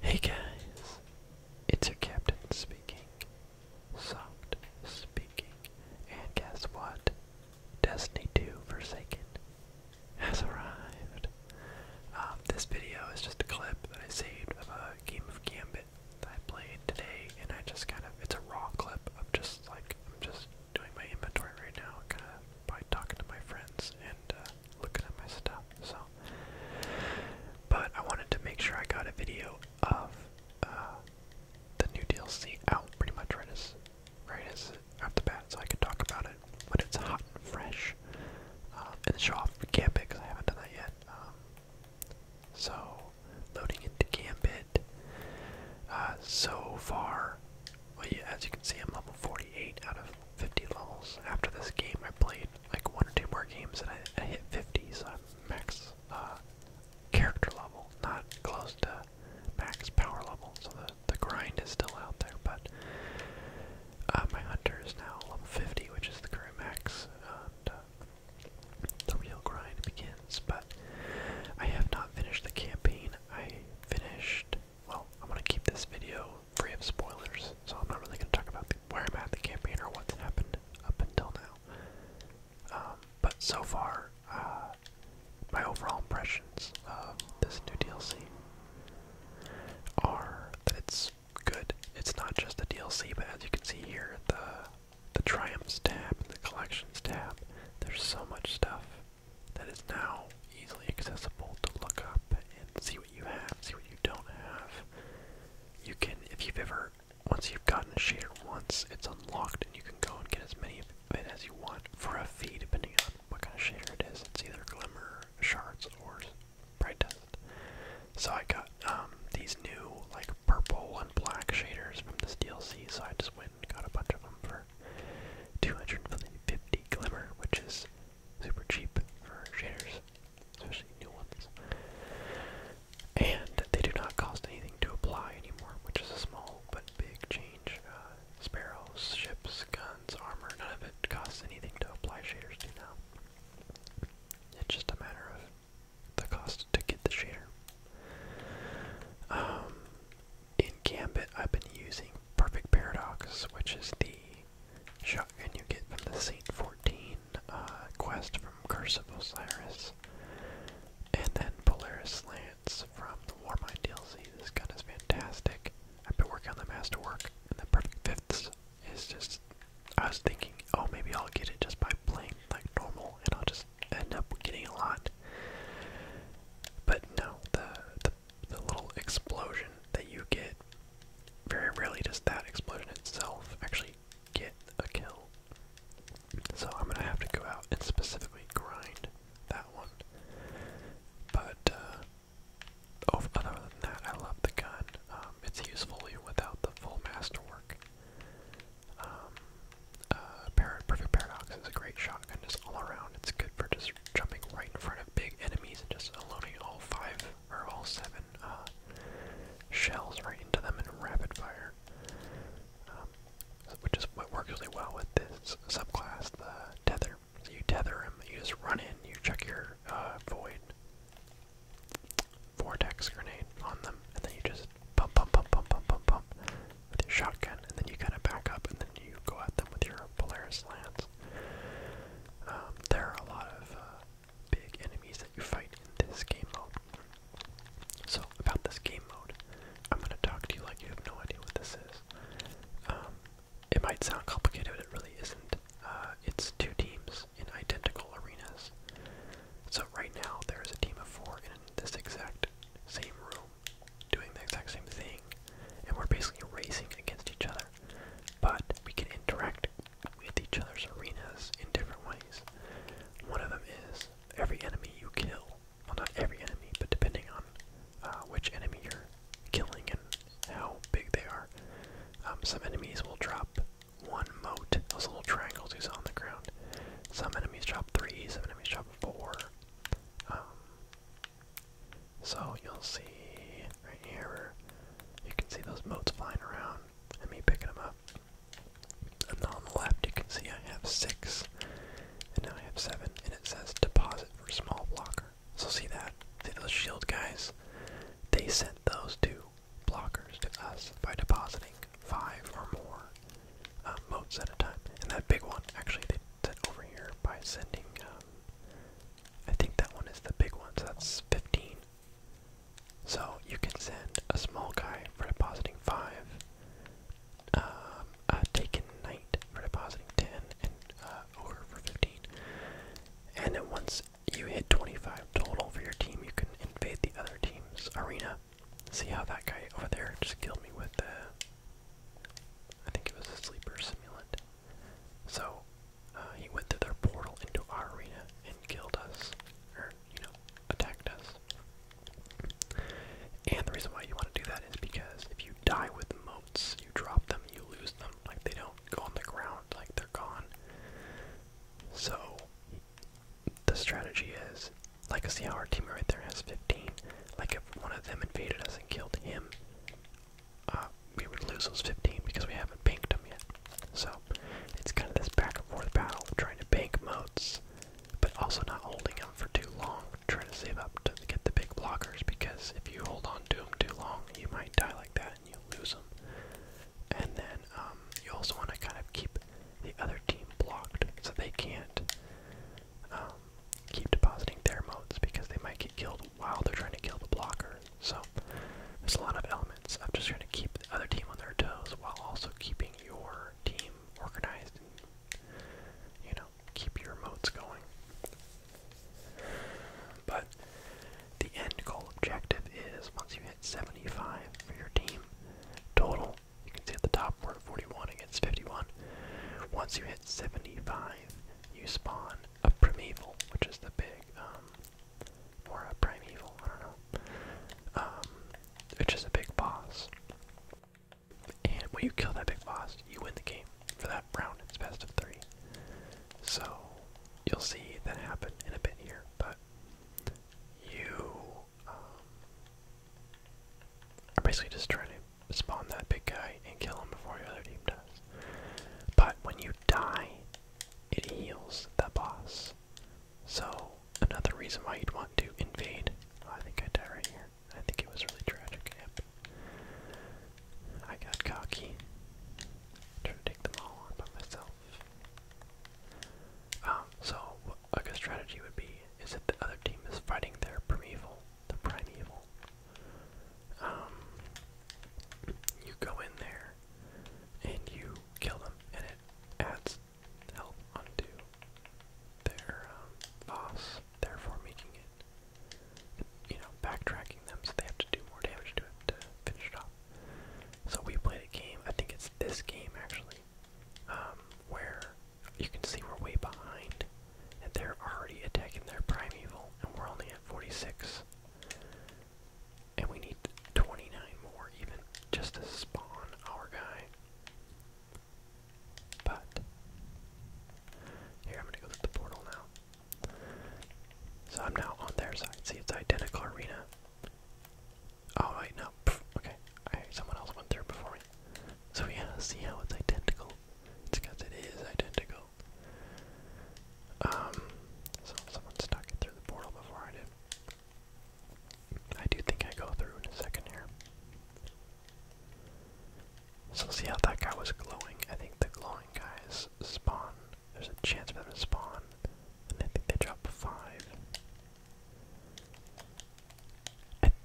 Hey guys, it's your captain speaking, soft speaking, and guess what? Destiny 2 Forsaken has arrived. Um, this video is just a clip that I saved of a game of Gambit that I played today, and I just kind of, it's a raw clip of just like, I'm just doing my inventory right now, kind of by talking to my friends and uh, looking at my stuff. So, but I wanted to make sure I got a video of uh, the new DLC out pretty much right as right as out the bat, so I can talk about it when it's hot and fresh, um, and show off Gambit because I haven't done that yet. Um, so, loading into Gambit. Uh, so far, well, as you can see, I'm level 48 out of 50 levels. After this game, I played like one or two more games and I, hit 50, so I'm max uh, character level, not close to max power level. So the, the grind is still out there, but uh, my hunter is now level 50, which is the current max. And, uh, the real grind begins, but I have not finished the campaign. I finished. Well, I'm gonna keep this video free of spoilers, so I'm not really gonna talk about where I'm at the campaign or what's happened up until now. Um, but so far, uh, my overall impressions of this new DLC are that it's good. It's not just a DLC, but as you can see here, the the triumphs tab and the collections tab, there's so much stuff that is now easily accessible to look up and see what you have, see what you don't have. You can, if you've ever, once you've gotten a shader once, it's unlocked and you can go and get as many of it as you want for a fee, depending on what kind of shader it is. It's either Glimmer, Shards, or Bright Dust. So I got um, these new, like, purple and black shaders from this DLC, so I just went Got a bunch of them for 250 glimmer, which is super cheap for shaders, especially new ones. And they do not cost anything to apply anymore, which is a small but big change. Uh, sparrows, ships, guns, armor, none of it costs anything to apply shaders to now. It's just a matter of the cost to get the shader. Um, in Gambit, I've been using Perfect Paradox, which is the shotgun you get from the Saint 14 uh, quest from Curse of Osiris. And then Polaris Slants from the Warmind DLC. This gun is fantastic. I've been working on the Masterwork, and the Perfect Fifths is just. I was thinking, oh, maybe I'll get it just by playing like normal, and I'll just end up getting a lot. But no, the the, little explosion that you get very rarely does that explosion itself actually get a kill. So I'm gonna have to go out and specifically grind that one. But uh, oh, other than that, I love the gun. Um, it's useful even without the full masterwork. Um, uh, Par Perfect Paradox is a great shotgun, just all around. It's good for just jumping right in front of big enemies and just loading all five or all seven uh, shells right into them in rapid fire. Um, which is what works really well with this subclass, the tether. So you tether him, you just run in, you check your uh, void vortex grenade on them, and then you just pump, pump, pump, pump, pump, pump, pump with your shotgun, and then you kind of back up, and then you go at them with your Polaris lance. Um, there are a lot of uh, big enemies that you fight in this game mode. So about this game mode, I'm gonna talk to you like you have no idea what this is. Um, it might sound complicated, but it really isn't. Uh, it's two teams in identical arenas. So right now there is a team of four in this exact same room, doing the exact same thing, and we're basically racing against each other. But we can interact with each other's arenas in different ways. One of them is every enemy you kill, well not every enemy, but depending on uh, which enemy you're killing and how big they are, um, some enemies will drop one moat, those little triangles on the ground, some enemies drop three, some enemies drop four. Um, so you'll see right here, you can see those moats flying around and me picking them up. And on the left, you can see I have six, and now I have seven, and it says deposit for small blocker. So see that? See those shield guys? They sent those to blockers to us by depositing five or more um, at a time. And that big one, actually, they did over here by sending, um, I think that one is the big one, so that's 15. So you can send a small guy for depositing five, um, a taken knight for depositing 10, and uh, ogre for 15. And then once you hit 25 total for your team, you can invade the other team's arena See how that guy over there just killed me with the. I think it was a sleeper simulant. So uh, he went through their portal into our arena and killed us, or you know, attacked us. And the reason why you want to do that is because if you die with motes, you drop them, you lose them. Like they don't go on the ground, like they're gone. So the strategy is. Like, see how our teammate right there has 15. Like, if one of them invaded us and killed him, uh, we would lose those 15 because we haven't banked them yet. So, it's kind of this back and forth battle, trying to bank moats, but also not holding them for too long, trying to save up to get the big blockers because if you hold on to them too long, you might die like that and you lose them. And then um, you also want to kind of keep the other team blocked, so they can't um, keep depositing their modes because they might get killed while they're trying to kill the blocker. So there's a lot of elements I'm just going to keep the other team on their toes while also keeping your team organized you know, keep your modes going. But the end goal objective is once you hit 75 for your team, total. You can see at the top we're at 41 against 51. Once you hit 75, you spawn a primeval, which is the big, um, or a primeval, I don't know, um, which is a big boss. And when you kill that big boss, you win the game. For that round, it's best of three. So, you'll see that happen in a bit here, but you um, are basically just trying to spawn that big guy and kill him before your other team does. But when you die, it heals that boss. So another reason why you'd want to invade. Oh, I think I died right here. I think it was really tragic. Yep. I got cocky. Try to take them all on by myself. Um, so a good strategy would be is if the other team is fighting their primeval, the primeval. Um, you go in there and you kill them, and it adds help onto their um, loss, therefore making it, you know, backtracking them, so they have to do more damage to it to finish it off. So we played a game, I think it's this game actually, um, where you can see we're way behind, and they're already attacking their primeval, and we're only at 46. And we need 29 more even just to spawn our guy. But, here I'm gonna go through the portal now. So I'm now on their side. See, it's identical arena. Oh wait, okay, someone else went through before me. So yeah, see how it's identical? It's it is identical. Um, so someone stuck it through the portal before I did. I do think I go through in a second here. So see how that guy was glowing? I think the glowing guys spawn. There's a chance for them to spawn and I think they dropped five.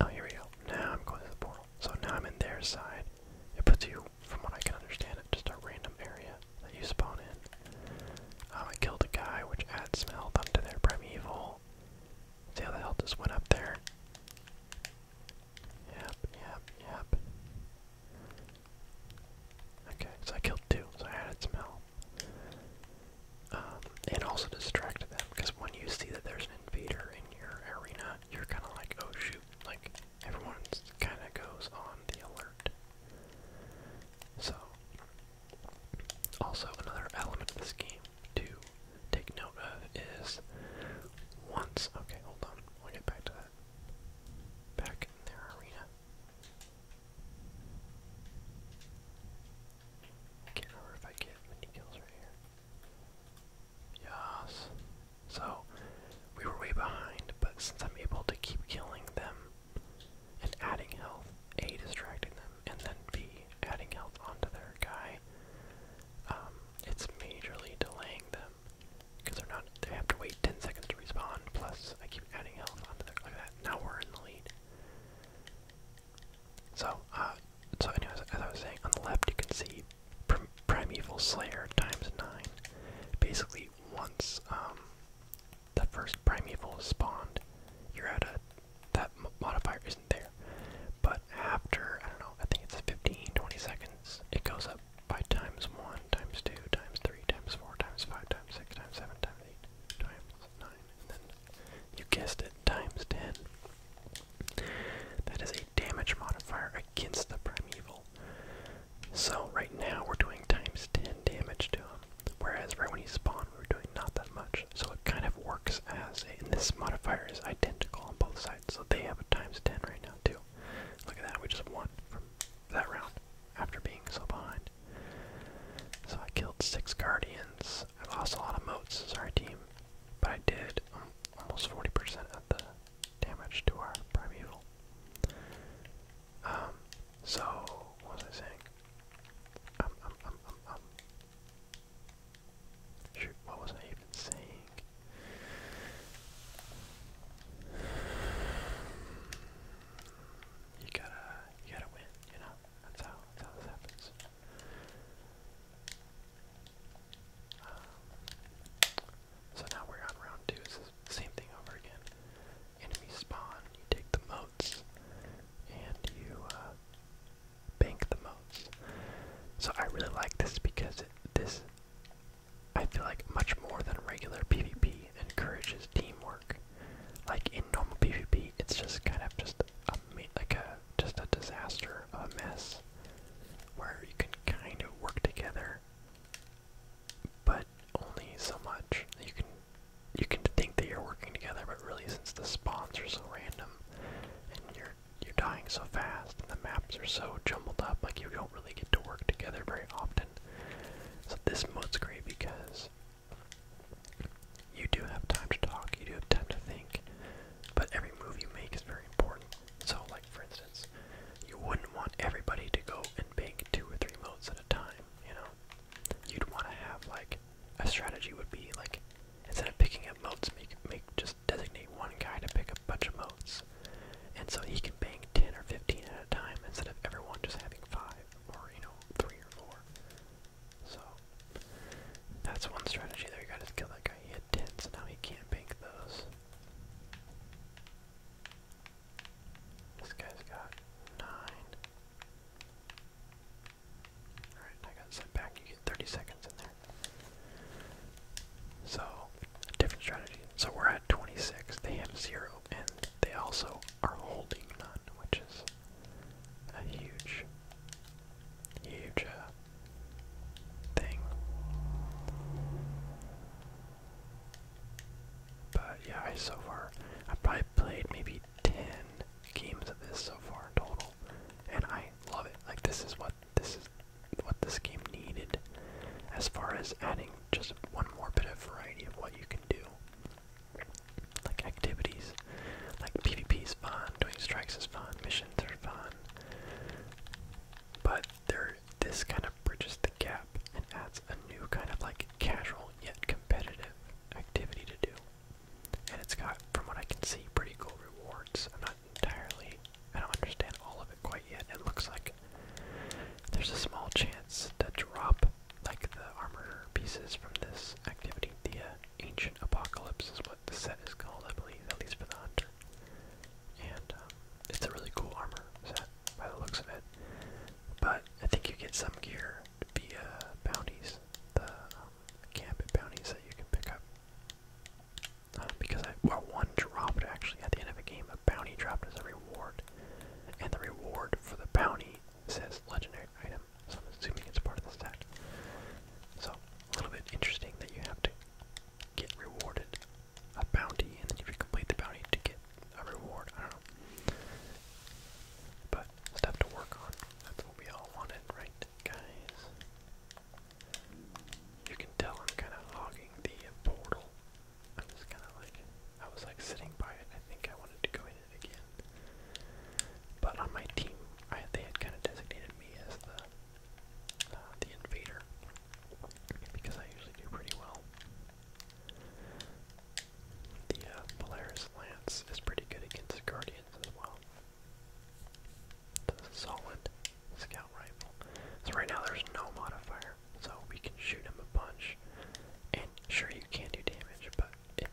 oh, here we go. Now I'm going to the portal. So now I'm in their side. It puts you, from what I can understand, it just a random area that you spawn in. Um, I killed a guy, which adds some health onto their primeval. See how the health just went up there? Yep, yep, yep. Okay, so I killed two, so I added some help. and also distracted them, because when you see that there's an invader in your arena, you're kind of like, oh shoot, like, everyone's kind of goes on the alert. So, also another element of the game to take note of is once, okay, hold on, we'll get back to that. Back in their arena can't remember if I get mini kills right here. Yes. So, we were way behind, but since I'm able to keep killing them and adding health, A, distracting them, and then B, adding health onto their guy, um, it's majorly delaying them because they're not they have to wait 10 seconds to respawn. Plus, I keep adding health onto the Look at that. Now we're in the lead. So, uh, so anyways, as I was saying, on the left you can see Primeval Slayer times nine. Basically, once um, the first Primeval spawned, you're at a that modifier isn't there. But after I don't know, I think it's 15, 20 seconds, it goes up by times 1, times 2, times 3, times 4, times 5, times 6, times 7, times 8, times 9, and then you guessed it, times 10. That is a damage modifier against the primeval. So right now we're doing times 10 damage to him, whereas right when he spawned we were doing not that much. So it kind of works as, and this modifier is identical on both sides, so they have a times 10 right now too. Look at that, we just won from that round after being so behind. So I killed six guardians. I lost a lot of moats as our team, but I did um, almost 40% of the damage to our primeval. Um, so, what was I saying? Um, um, Shoot, what was I even saying? You gotta, you gotta win. You know, that's how, that's how this happens. Um, so now we're on round two. It's the same thing over again. Enemy spawn. You take the moats, and you uh, bank the moats. So I really like this because this I feel like much more than regular PvP encourages teamwork. Like in normal PvP, it's just kind of just a like a just a disaster, a mess, where you can kind of work together, but only so much. You can you can think that you're working together, but really, since the spawns are so random and you're you're dying so fast and the maps are so jumbled up, like you go don't really get to work together very often. So this mode's great because you do have time to talk, you do have time to think, but every move you make is very important. So, like for instance, you wouldn't want everybody to go and bank two or three modes at a time. You know, you'd want to have like a strategy would be like instead of picking up modes, make make just designate one guy to pick a bunch of modes. And so he can bank 10 or 15 at a time instead of everyone just having 5 or, you know, 3 or 4. So, that's one strategy there. You gotta kill that guy. He had 10, so now he can't bank those. This guy's got 9. Alright, I got set back. You get 30 seconds in there. So, different strategy. So we're at 26, they have 0, and they also are holding none, which is a huge, huge uh, thing. But yeah, I so far, I've probably played maybe 10 games of this so far in total, and I love it. Like, this is what this is what this game needed as far as adding just one more bit of variety of what you can do. Like activities. Like PvP is fun, doing strikes is fun, missions are fun. But there this kind of bridges the gap and adds a new kind of like casual yet competitive activity to do. And it's got, from what I can see, pretty cool rewards entirely. I don't understand all of it quite yet. It looks like there's a small chance to drop like the armor pieces from this activity. The uh, Ancient Apocalypse is what the set is called, I believe, at least for the Hunter. And um, it's a really cool armor set by the looks of it. But I think you get some gear via bounties, the um, camp bounties that you can pick up. Uh, because I, one dropped actually at the end of a game, a bounty dropped as a reward. And the reward for the bounty says legendary item, so I'm assuming it's part of the stack. So, a little bit interesting that you have to get rewarded a bounty, and then you complete the bounty to get a reward, I don't know. But, stuff to work on. That's what we all wanted, right, guys? You can tell I'm kind of hogging the portal. I'm just kind of like, I was like sitting by it. I think I wanted to go in it again. But on my team, they had kind of designated me as the, uh, the invader. Because I usually do pretty well. The uh, Polaris Lance is pretty good against the Guardians as well. That's solid scout rifle. So right now there's no modifier, so we can shoot him a bunch. And sure, you can do damage, but it,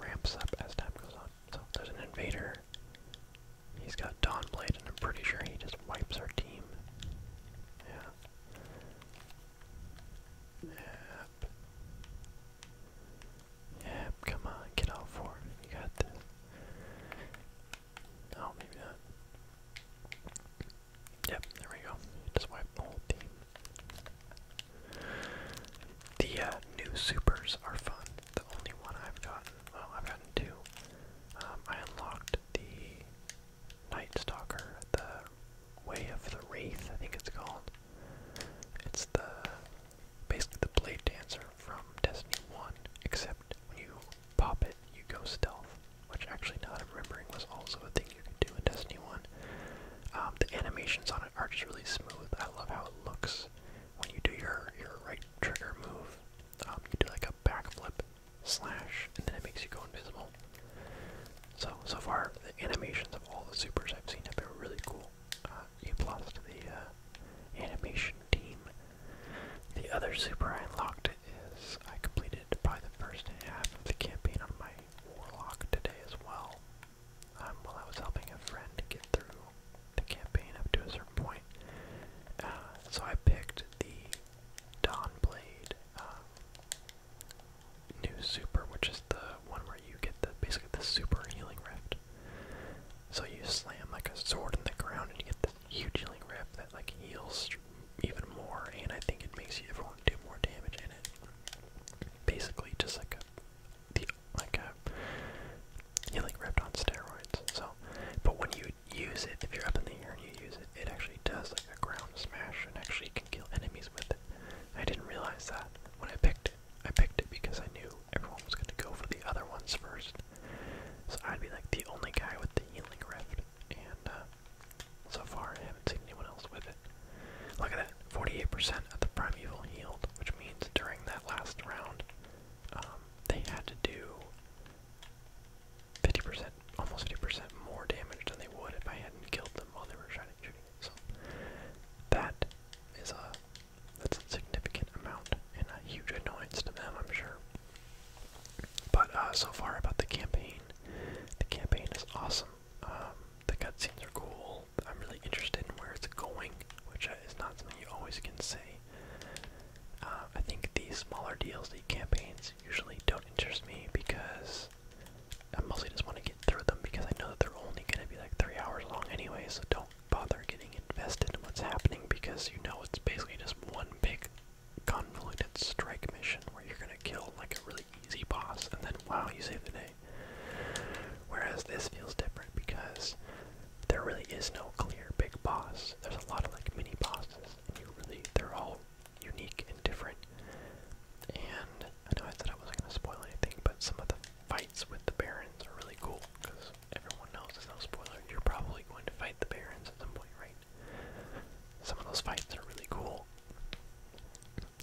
ramps up as time goes on. So there's an invader. He's got Dawnblade, and I'm pretty sure he just wipes our team. Yeah. Yep. Yep, come on, get out for You got this. Oh, maybe not. Yep, there we go. Just wipe the whole team. The uh, new supers are fun. The only one I've gotten, Oh, I've gotten two. Um, I unlocked the Night Stalker, the Way of the Wraith, I think it's called. It's the basically the blade dancer from Destiny 1, except when you pop it, you go stealth, which actually not that i remembering was also a thing you could do in Destiny 1. Um, the animations on it are just really smooth. I love how it looks when you do your, your right trigger move. Um, you do like a backflip slash, and then it makes you go invisible. So, so far, the animations of all the supers I've seen have been really cool. Uh, you plus to the uh, animation team the other super I unlocked is I completed by the first half of the campaign on my warlock today as well. Um, while I was helping a friend get through the campaign up to a certain point. Uh, so I picked the Dawnblade um, new super, which is the one where you get the basically the super healing rift. So you slam like a sword in the ground and you get this huge healing rip that like heals even more, and I think it makes you everyone do more damage in it. Basically, just like a the like a healing rip on steroids. So, but when you use it, if you're up in the air and you use it, it actually does like a ground smash and actually can kill enemies with it. I didn't realize that when I picked it. I picked it because I knew everyone was going to go for the other ones first. So I'd be like the only guy with the healing rift, and uh, so far I haven't seen anyone else with it. Look at that, 48% of the primeval healed, which means during that last round, um, they had to do 50%, almost 50% more damage than they would if I hadn't killed them while they were shooting. So that is a that's a significant amount and a huge annoyance to them, I'm sure. But uh, so far about the campaign, the campaign is awesome. Um, the cutscenes are cool. I'm really interested in where it's going, which uh, is not something you always can say. Uh, I think these smaller DLC campaigns usually don't interest me because I mostly just want to get through them because I know that they're only going to be like three hours long anyway, so don't bother getting invested in what's happening because you know it's basically just one big convoluted strike mission where you're gonna kill like a really easy boss and then wow you save the day. Whereas this feels different because there really is no clear big boss. There's a lot of like mini bosses and you really they're all unique and different. And I know I said I wasn't gonna spoil anything, but some of the fights with the barons are really cool because everyone knows it's no spoiler, you're probably going to fight the Barons at some point, right? Some of those fights are really cool.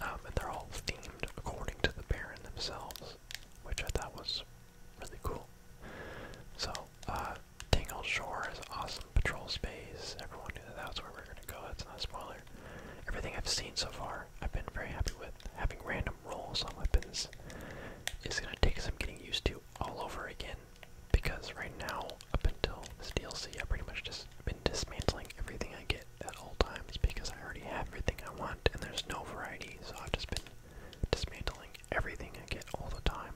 Um, and they're all themed according to the Baron themselves, which I thought was really cool. So, uh, Tangle Shore is awesome patrol space. Everyone knew that that's where we're gonna go, that's not a spoiler. Everything I've seen so far I've been very happy with. Having random rolls on weapons It's going to take some getting used to all over again because right now, up until this DLC, I've pretty much just been dismantling everything I get at all times because I already have everything I want and there's no variety, so I've just been dismantling everything I get all the time.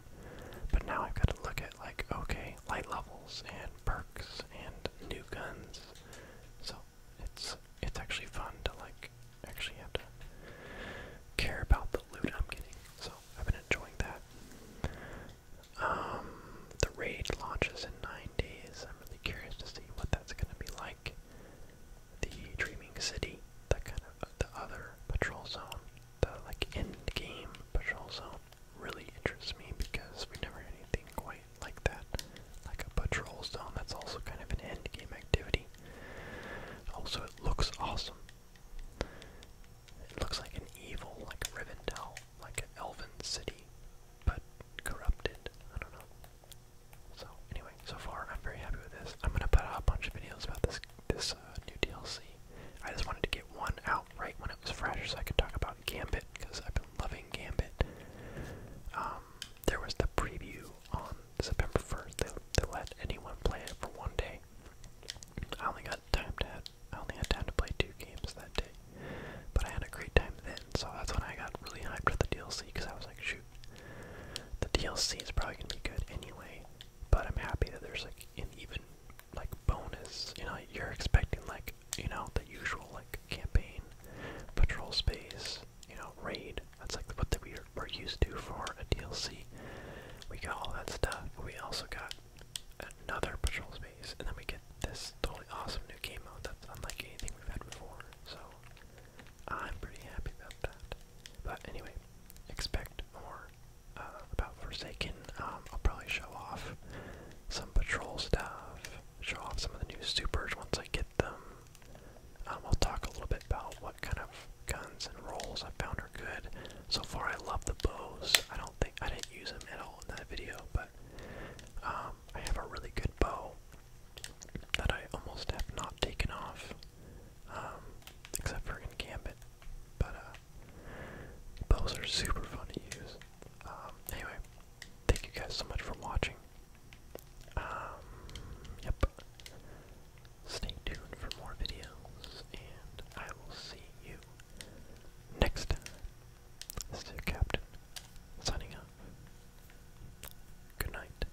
But now I've got to look at, like, okay, light levels and perks and new guns. So it's it's actually fun to like actually have to care about the loot I'm getting. So I've been enjoying that. Um, the raid launches in nine days. I'm really curious to see what that's going to be like. The Dreaming City, that kind of uh, the other patrol zone, the like end game patrol zone, really interests me because we never had anything quite like that, like a patrol zone. That's also kind of an end game activity. Also, it looks awesome. It looks like an evil, like Rivendell, like an elven city, but corrupted. I don't know. So anyway, so far I'm very happy with this. I'm gonna put out a bunch of videos about this this uh, new DLC. I just wanted to get one out right when it was fresh, so I could talk about Gambit because I've been loving Gambit. Um, there was the preview on September 1st, they, they let anyone play it for one day. I only got time to I only had time to play two games that day, but I had a great time then. So that's when I got really hyped for the DLC because I was like, shoot, the DLC is probably gonna be good anyway. But I'm happy that there's like an even like bonus. You know, you're expecting like you know the usual like campaign, patrol space, you know, raid, that's like what the, we we're used to for a DLC. We got all that stuff. We also got another patrol space, and then we get this totally awesome new game mode that's unlike anything we've had before. So I'm pretty happy about that. But anyway, expect more uh, about Forsaken. Um, I'll probably show off some patrol stuff, show off some of the new supers once I get them. Um, I'll talk a little bit about what kind of guns and rolls I found are good. So far, I love the bows. I don't think I didn't use them at all in that video, but um, I have a really good bow that I almost have not taken off, um, except for in Gambit. But uh, bows are super fun to use. anyway, thank you guys so much for watching. Um, yep. Stay tuned for more videos, and I will see you next time. This is your captain, signing off. Good night.